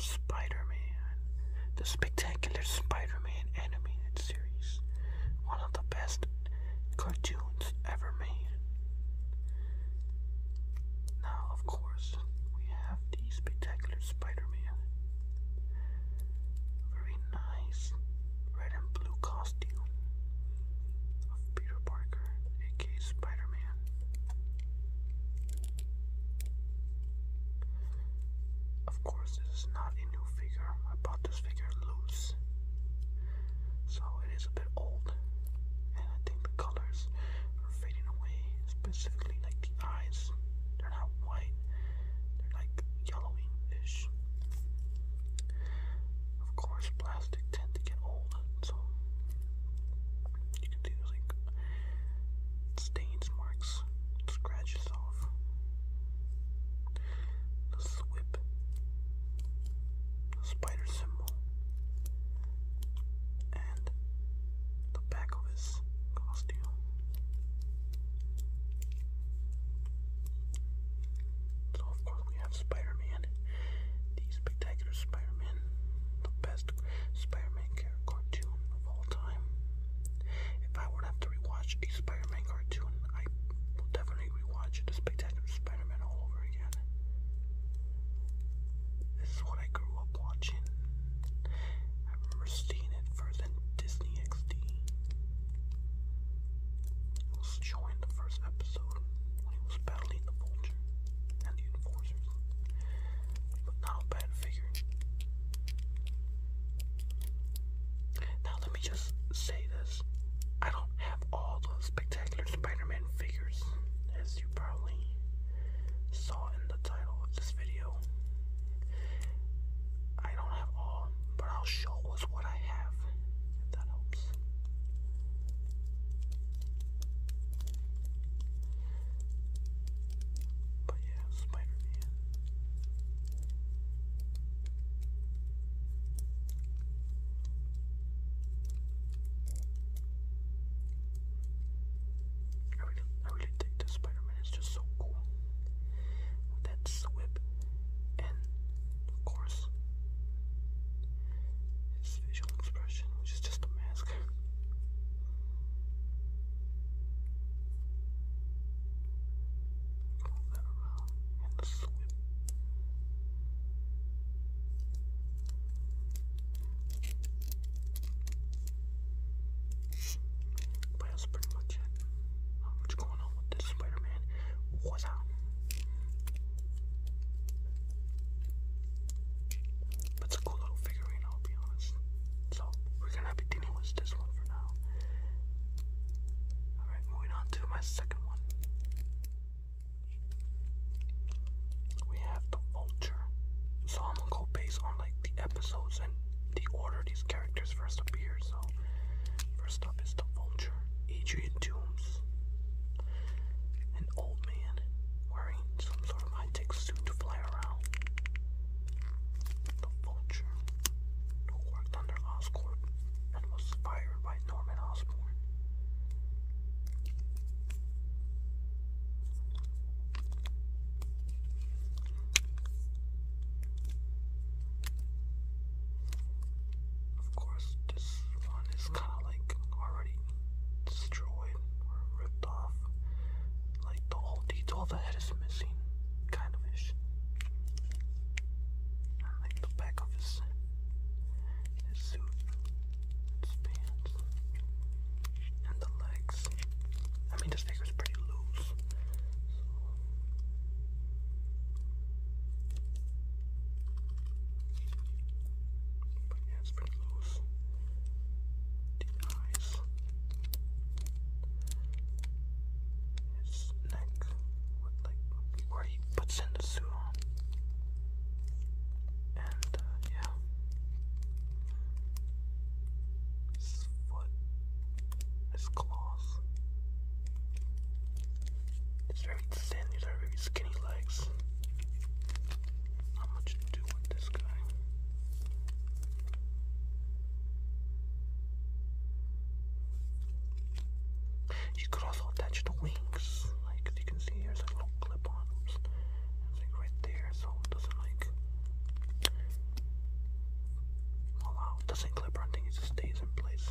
Spider-Man, the spectacular Spider-Man animated series, one of the best cartoons ever made. Now, of course, we have the spectacular Spider-Man, nice red and blue costume of Peter Parker, aka Spider Man. Of course, this is not a new figure. I bought this figure loose, so it is a bit old, and I think the colors are fading away, specifically like the eyes. They're not white, they're like yellowing-ish. Of course, plastic tend to get old, so you can see like stains, marks, scratches off the swip, the spider symbol, and the back of his costume. So of course we have Spider-Man, the spectacular Spider-Man, the best Spider-Man cartoon of all time. If I would have to rewatch a Spider-Man cartoon, I will definitely rewatch the spectacular Spider-Man all over again. This is what I grew up watching. I remember seeing it first in Disney XD. It was showing the first episode when he was battling the vulture and the enforcers. But not a bad figure. Now let me just say this. I don't have all the spectacular Spider-Man figures as you probably saw in the title of this video. I don't have all but I'll show us what I have, if that helps. But yeah, Spider Man. I really, dig this Spider Man it's just so cool with that whip and of course his facial expression, which is just a mask. Roll that around and the that's pretty much it. Uh, what's going on with this Spider-Man? What's up? But a cool little figurine, I'll be honest. So we're gonna be dealing with this one for now. Alright, moving on to my second one. We have the vulture. So I'm gonna go based on like the episodes and the order these characters first appear. So, first up is the Vulture, Adrian Toomes, an old man wearing some sort of high tech suit to fly around. The Vulture, who worked under Oscorp and was fired by Norman Osborn. Of course, this one is kind of like already destroyed or ripped off. Like the whole detail the head is missing, kind of ish. Like the back of his, his suit, his pants, and the legs. I mean, this figure's pretty loose. But yeah, it's pretty close. The eyes. His neck where he puts in the suit And uh, yeah. His foot it's claws. It's very thin, these are very skinny legs. Not much to do with this guy. You could also attach the wings. Like as you can see here's a little clip on like right there so it doesn't like it doesn't clip or anything, it just stays in place.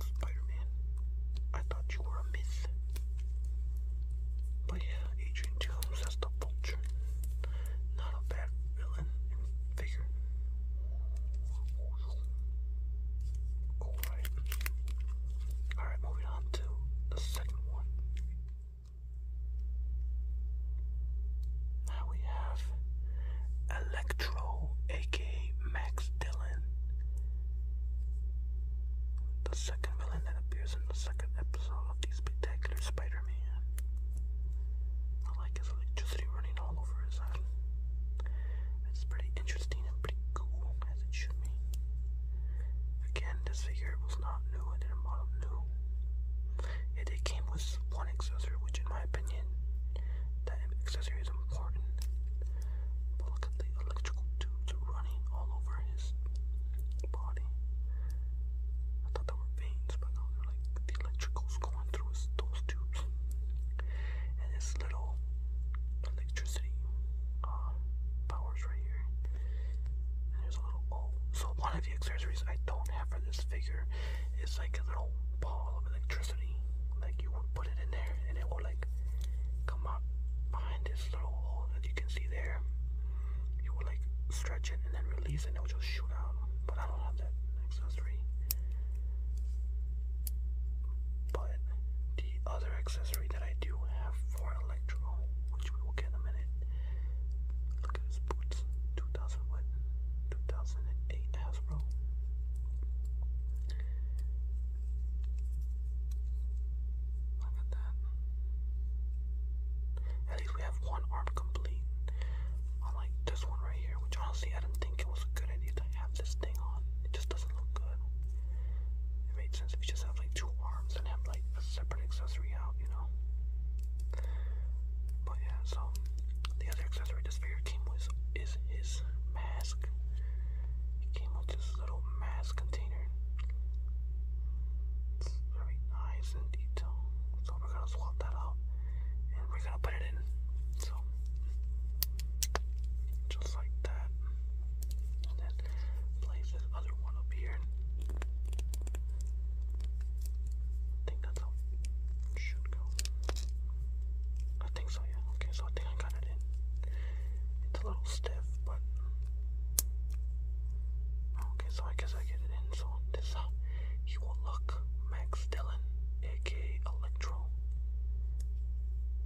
Spider-Man. I thought you were a myth. But yeah, Adrian Jones, that's the Vulture. Not a bad villain and figure. Alright. Alright, moving on to the second one. Now we have Electro, aka Max Dillon. The second villain that appears in the second episode of the Spectacular Spider Man. I like his electricity running all over his eye. Uh, it's pretty interesting and pretty cool, as it should be. Again, this figure was not new and didn't model new. Yet it came with one accessory, which in my opinion, that accessory is important. But look at the electrical tubes running all over his body. I thought they were veins, but no, they're like the electricals going through his, those tubes. And this little electricity powers right here. there's a little oh, so one of the accessories I don't have for this figure is like a little ball of electricity. Like you would put it in there and it will like come out behind this little hole that you can see there. You will like stretch it and then release and it will just shoot out. But I don't have that accessory. But the other accessory that I do have for Electro, which we will get in a minute. Look at his boots. 2000 what? 2008 Hasbro. Look at that. At least we have one arm complete. Unlike this one right here, which honestly I didn't think it was a good idea to have this thing on. It just doesn't look good. It made sense if you just have like two arms and have like a separate accessory out, you know. But yeah, so the other accessory this figure came with is his mask. He came with this little mask container. It's very nice and detailed. So we're gonna swap that out and we're gonna put it in. So just like that. And then place this other one up here. I think that's how it should go. I think so, yeah. Okay, so I think I got it in. It's a little stiff, but. Okay, so I guess I get it in. So this is how he will look. Max Dillon, aka Electro.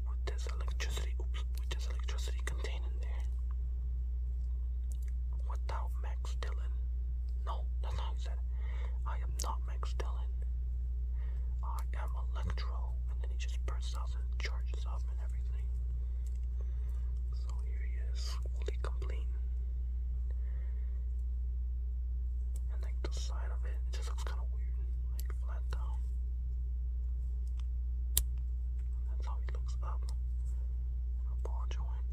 With this electricity. Oops. Which is electricity contained in there. Without Max Dillon. No, that's not what said. I am not Max Dillon. I am Electro. And then he just bursts out and charges up and everything. So here he is, fully complete. And like the side of it, it just looks kind of weird. Like flat down. That's how he looks up. ball joint.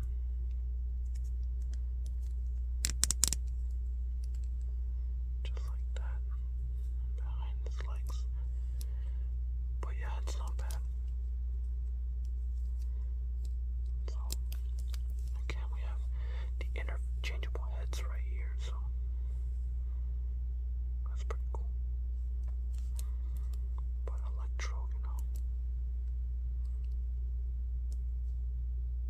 Just like that. Behind his legs. But yeah, it's not bad. So, again, we have the interchangeable heads right here. So that's pretty cool. But Electro, you know,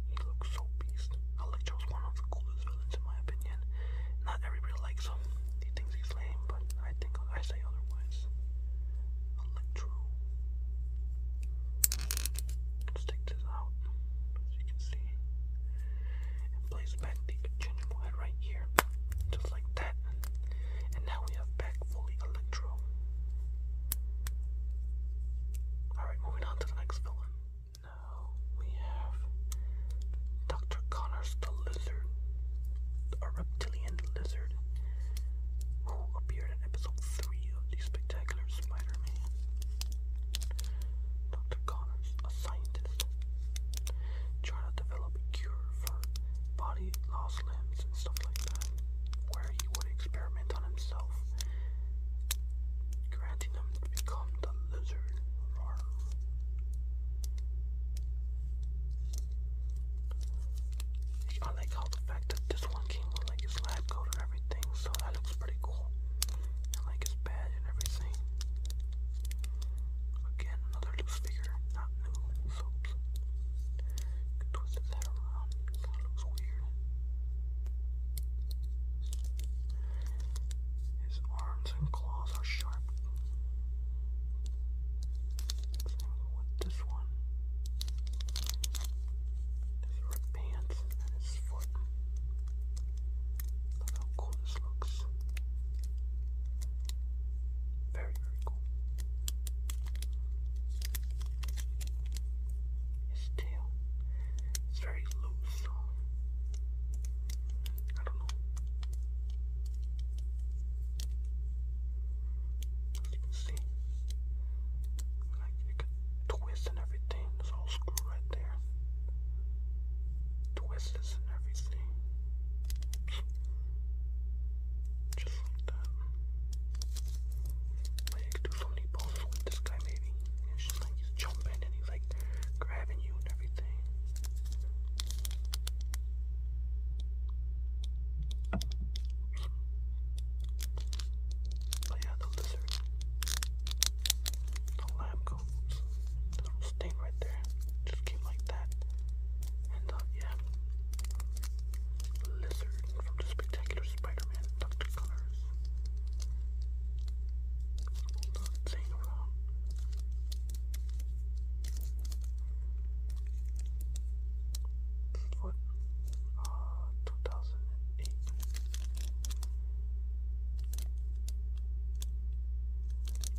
he looks so beast. Electro's one of the coolest villains, in my opinion. Not everybody likes him. He thinks he's lame, but I think I say otherwise. Electro. let this out, as you can see place back the congenital head right here, just like that. And now we have back fully electro. Alright, moving on to the next villain. Now we have Dr. Connors the Lizard, a reptilian lizard who appeared in episode 3 of The Spectacular Spider Man. Dr. Connors, a scientist scientists try to develop a cure for body lost limbs and stuff like that, where he would experiment on himself, granting him to become the lizard. I like how the fact that this one came with like his lab coat and everything, so that looks pretty cool. And like his badge and everything. Again, another loose figure, not new, so you can twist his head around, it kind of looks weird. His arms and claws are sharp. Same with this one. His red pants and his foot. Look how cool this looks. Very, very cool. His tail. It's very loose. I don't know. As you see, like it could twist and everything. It's all screwed right there. Twists and everything. Just like that. But you could do so poses with this guy, maybe. And like, jumping and he's like grabbing you and everything. yeah, the lizard. The lamb go. Just little stain right there. Just came like that. And uh, yeah. Lizard from the Spectacular Spider-Man, Dr. Connors. Not saying around. What? Uh, 2008.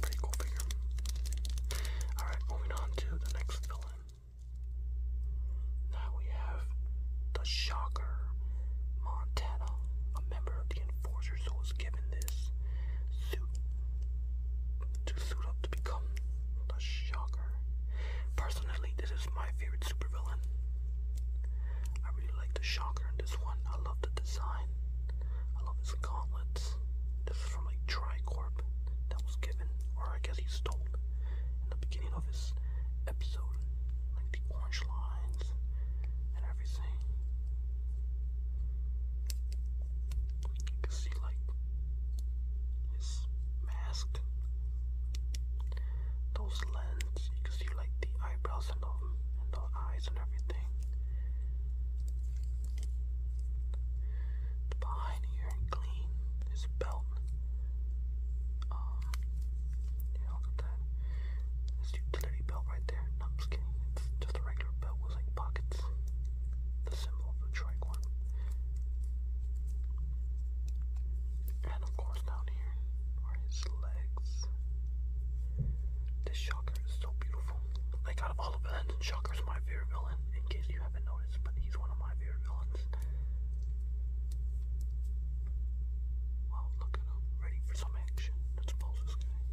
Pretty cool figure. Alright, moving on to the next villain. Now we have the Shocker Montana, a member of the Enforcers who was given this suit to suit up to become the Shocker. Personally, this is my favorite supervillain. I really like the Shocker in this one. I love the design. I love his gauntlets. This is from like Tricorp that was given, or I guess he stole in the beginning of his episode. Like the orange lines and everything. You can see like his mask. Those lens, you can see like the eyebrows and eyes and everything. Behind here clean his belt. Um, look at that. This utility belt right there. I'm just kidding. It's just a regular belt with like pockets. The symbol of the tricorn. And of course down here are his legs. This Shocker is so beautiful. Like out of all the villains, Shocker's my favorite villain, in case you haven't noticed, but he's one of my favorite villains. Wow, look at ready for some action. Let's pulse this guy.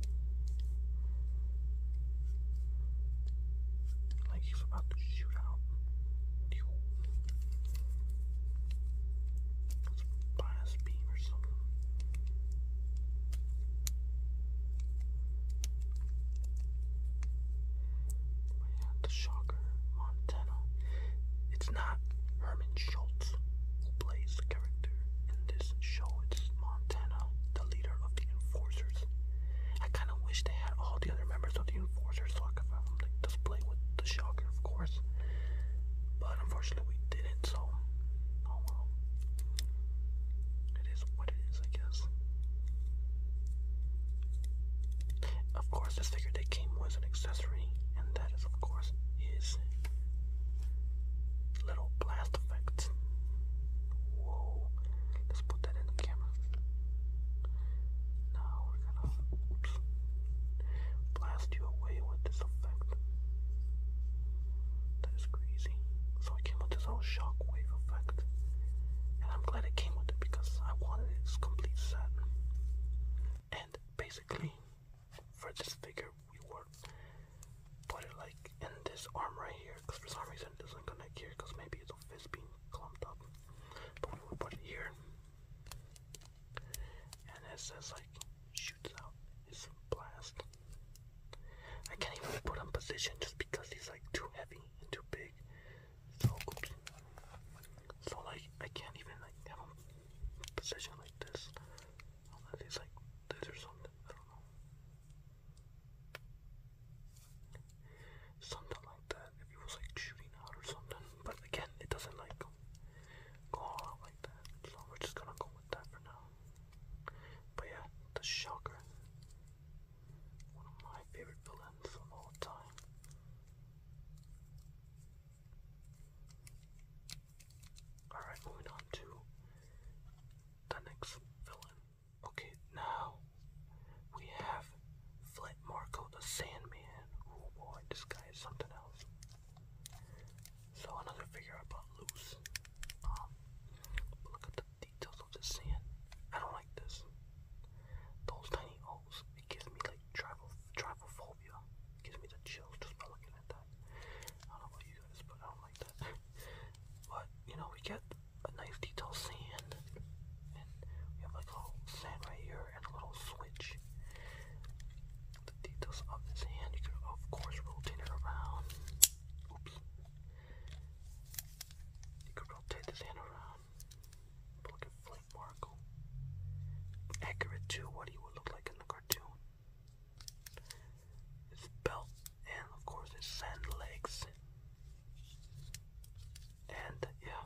Like he's about to shoot out let beam or something. But yeah, the shocker, Montana. It's not Herman Schultz who plays the character in this show. It's Montana, the leader of the Enforcers. I kind of wish they had all the other members of the Enforcers so I could have them like, display with the shocker, of course. But unfortunately, we didn't it, so oh well. It is what it is, I guess. Of course, this figure they came with an accessory, and that is, of course, his little blast effect. Whoa! Let's put that in the camera. Now we're gonna blast you away with this effect. That's crazy. So it came with this whole shockwave effect. And I'm glad it came with it because I wanted its complete set. And basically, for this figure, we were put it like in this arm right here. Because for some reason, doesn't connect here. Because maybe it's a fist being clumped up. But we would put it here and it says like shoots out his blast. I can't even put on position just because he's like too heavy and too big. So So like I can't even like have him position like this. Unless he's like this or something. I don't know. Something like that. If he was like shooting out or something. But again it doesn't like go all out like that. So we're just gonna go that for now. But yeah, the Shocker. One of my favorite villains of all time. Alright, moving on to the next villain. Okay, now we have Flint Marco the Sandman. Oh boy, this guy is something else. So another figure I bought loose. Um, look at the details of the sand. I don't like this. Those tiny holes. It gives me like travel travel phobia. gives me the chills just by looking at that. I don't know about you guys, but I don't like that. but you know, we get a nice detailed sand, we have like little sand right here and a little switch the details of his hand. You can, of course, rotate it around. Oops. You can rotate this hand around. Look at Flint Markle. Accurate to what he would look like in the cartoon. His belt and, of course, his sand legs. And yeah,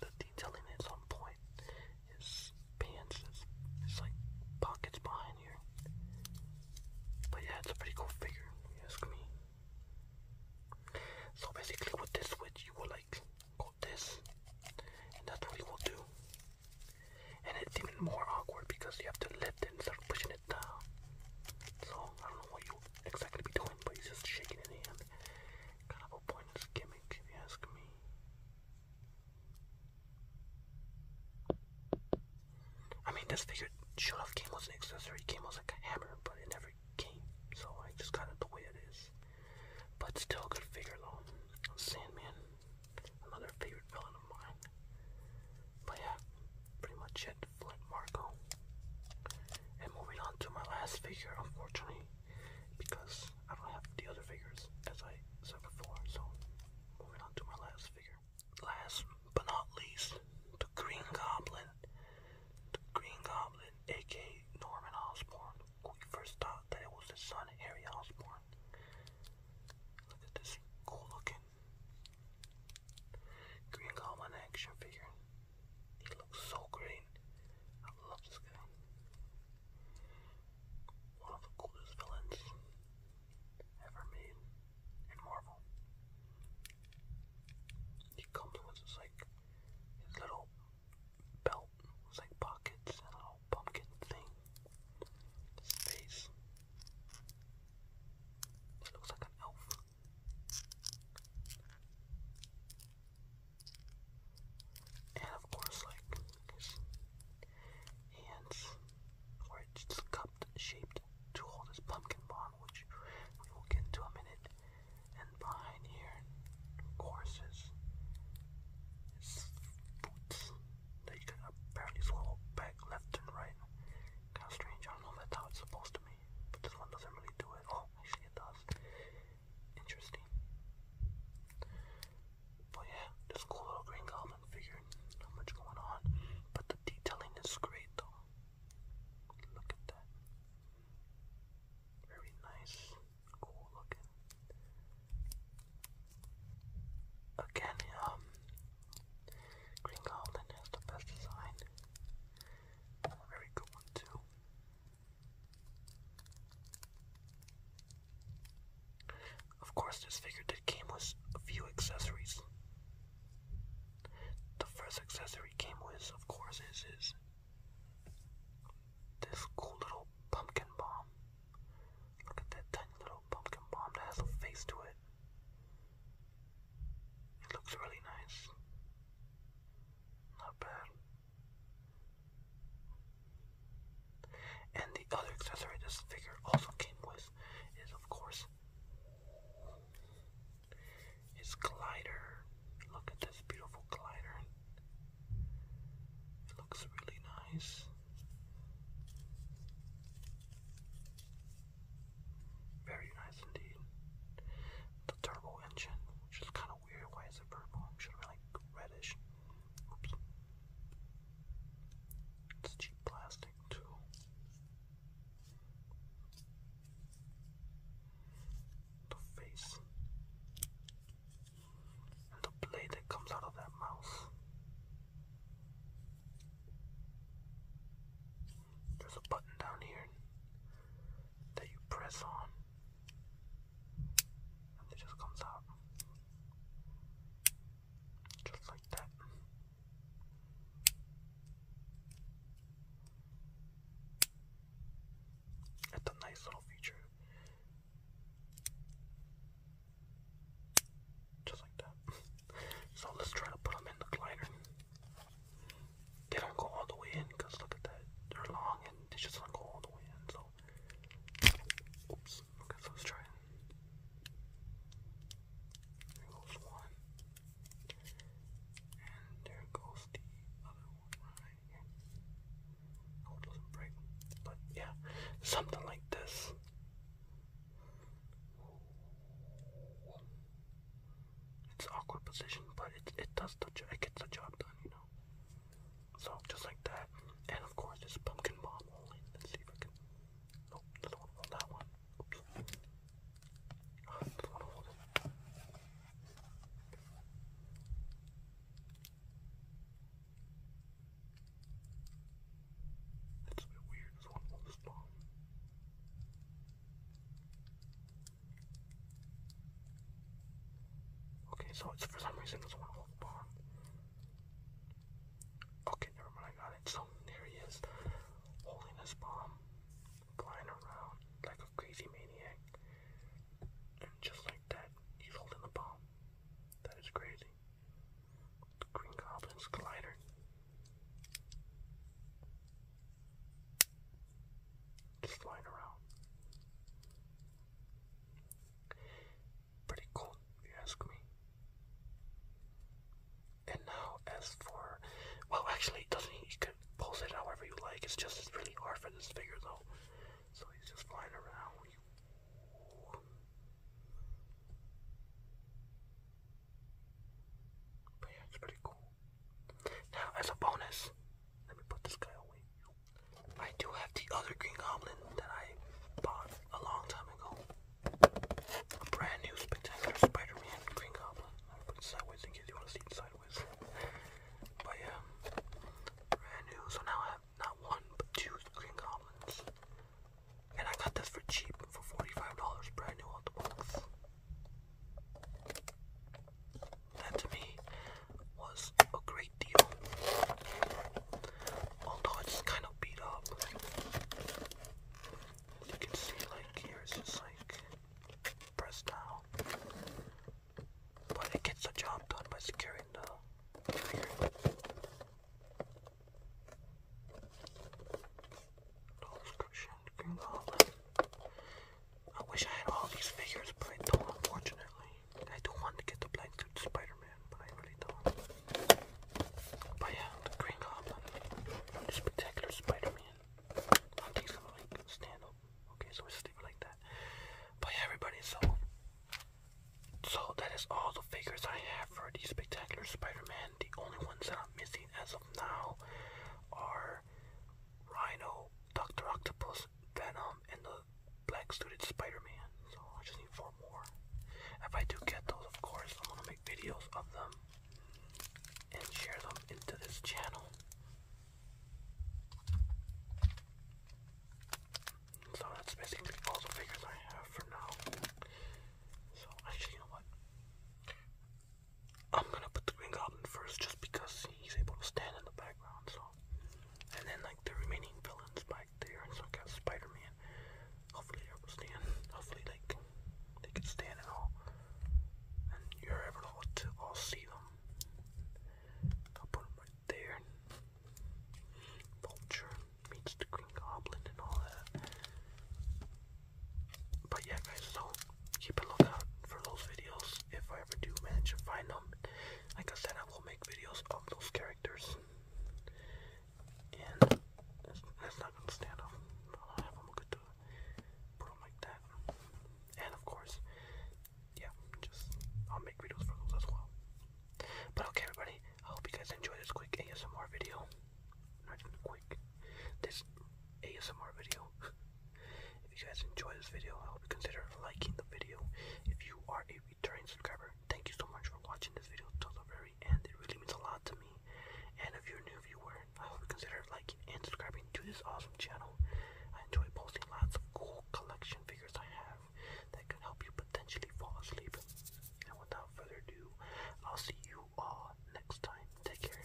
the detailing is on point his pants. It's, like pockets behind here. But yeah, it's a pretty cool figure, you ask me. So basically with this switch, you will like go this, and that's what you will do. And it's even more awkward because you have to lift it instead of pushing it down. So I don't know what you exactly be doing, but he's just shaking it in. Kind of a pointless gimmick, if you ask me. I mean, this figure should have came as an accessory. It came as like a hammer, but it never came. So I just got it the way it is. But still a good figure though. Sandman. Another favorite villain of mine. But yeah, pretty much it. Flint Marko. And moving on to my last figure, unfortunately, because I don't have the other figures, as I said before, so moving on to my last figure. Last but not least, the Green Goblin. The Green Goblin, aka Norman Osborn. We first thought that it was his son, Harry Osborn. Look at this cool looking Green Goblin action figure. He looks so green. I love this guy one of the coolest villains ever made in Marvel. He comes with his like his little belt with like pockets and a little pumpkin thing. His face. It looks like an elf. And of course like hands, or it's cupped shaped to hold this pumpkin bomb, which we will get into a minute. And behind here, of course, is, is boots that you can apparently swallow back left and right. Kind of strange. I don't know if how it's supposed to be, but this one doesn't really do it. Oh, actually, it does. Interesting. But yeah, this cool little green goblin figure, not much going on. But the detailing is great though. Look at that. Very nice, cool looking. Again, um, Green Goblin has the best design. Very good too. Of course, this figure did came with a few accessories. The first accessory came with, of course, is, is this cool little pumpkin bomb. Look at that tiny little pumpkin bomb that has a face to it. It looks really nice. Not bad. And the other accessory this figure also came with is, of course, his glider. Look at this beautiful glider. It looks really nice. Very nice indeed. The turbo engine, which is kind of weird. Why is it purple? should have been like reddish. It's cheap plastic, too. The face. And the blade that comes out of that mouse. There's a button down here that you press on and it just comes out just like that. It's a nice little feature. Just like that. so let's try to put them in the glider. They don't go all the way in because look at that. They're long and they just don't go all the way in. So Oops. Okay, let's try it. There goes one. And there goes the other one it doesn't break. But yeah, something like this. It's awkward position, but it it does touch. it gets the job done, you know. So just like that. And of course this pumpkin bomb Let's see if I can Nope, doesn't want that one. That's a bit weird, this one roll this bomb. Okay, so it's for some reason doesn't want to hold the Okay, never mind, I got it. So there he is, holding his bomb, flying around like a crazy maniac. And just like that, he's holding the bomb. That is crazy. Green Goblin's glider. Just flying around. Pretty cool, if you ask me. And now, as for. Well, actually, doesn't. You can pose it however you like. It's just it's really hard for this figure, though. So he's just flying around. But yeah, it's pretty cool. Now, as a bonus, let me put this guy away. I do have the other Green Goblin that I bought a long time ago. brand new Spectacular Spider-Man Green Goblin. I put it sideways in case you want to see it sideways. But yeah, brand new. So now I have not one but two Green Goblins, and I got this for cheap for forty-five dollars, brand new out the box. That to me was a great deal. Although it's kind of beat up. You can see like here it's just like pressed down. But it gets the job done by securing the trigger. I wish I had all these figures, but unfortunately. I do want to get the blind suit Spider-Man, but I really don't. But yeah, Green Goblin, spectacular Spider-Man. I don't gonna like stand up. Okay, so we'll leave like that. But yeah, everybody, so so that is all the figures I have for the spectacular Spider-Man. The only ones that I'm missing as of now are Rhino, Doctor Octopus, Venom, um, and the black suited Spider-Man. So I just need four more. If I do get those, of course, I'm gonna make videos of them and share them into this channel. So that's basically all the figures I have for now. So actually, you know what? I'm gonna put the Green Goblin first, just because he's able to stand in the background. So and then like the remaining villains back there, and so I got Spider-Man. Hopefully they will stand. Hopefully like they can stand and all. And you're able to all see them. I'll put them right there. Vulture meets the Green Goblin and all that. But yeah, guys, so keep a lookout for those videos if I ever do manage to find them. Like I said, I I will make videos of those characters. And that's, not gonna stand up. I'll have them good to put them like that. And of course, yeah, just I'll make videos for those as well. But okay, everybody, I hope you guys enjoy this quick ASMR video. Not even quick. This ASMR video. If you guys enjoyed this video, I hope you consider liking the video. If you are a returning subscriber, thank you so much for watching this video till the very end. It really means a lot to me. And if you're a new viewer, I hope you consider liking and subscribing to this awesome channel. I enjoy posting lots of cool collection figures I have that can help you potentially fall asleep. And without further ado, I'll see you all next time. Take care.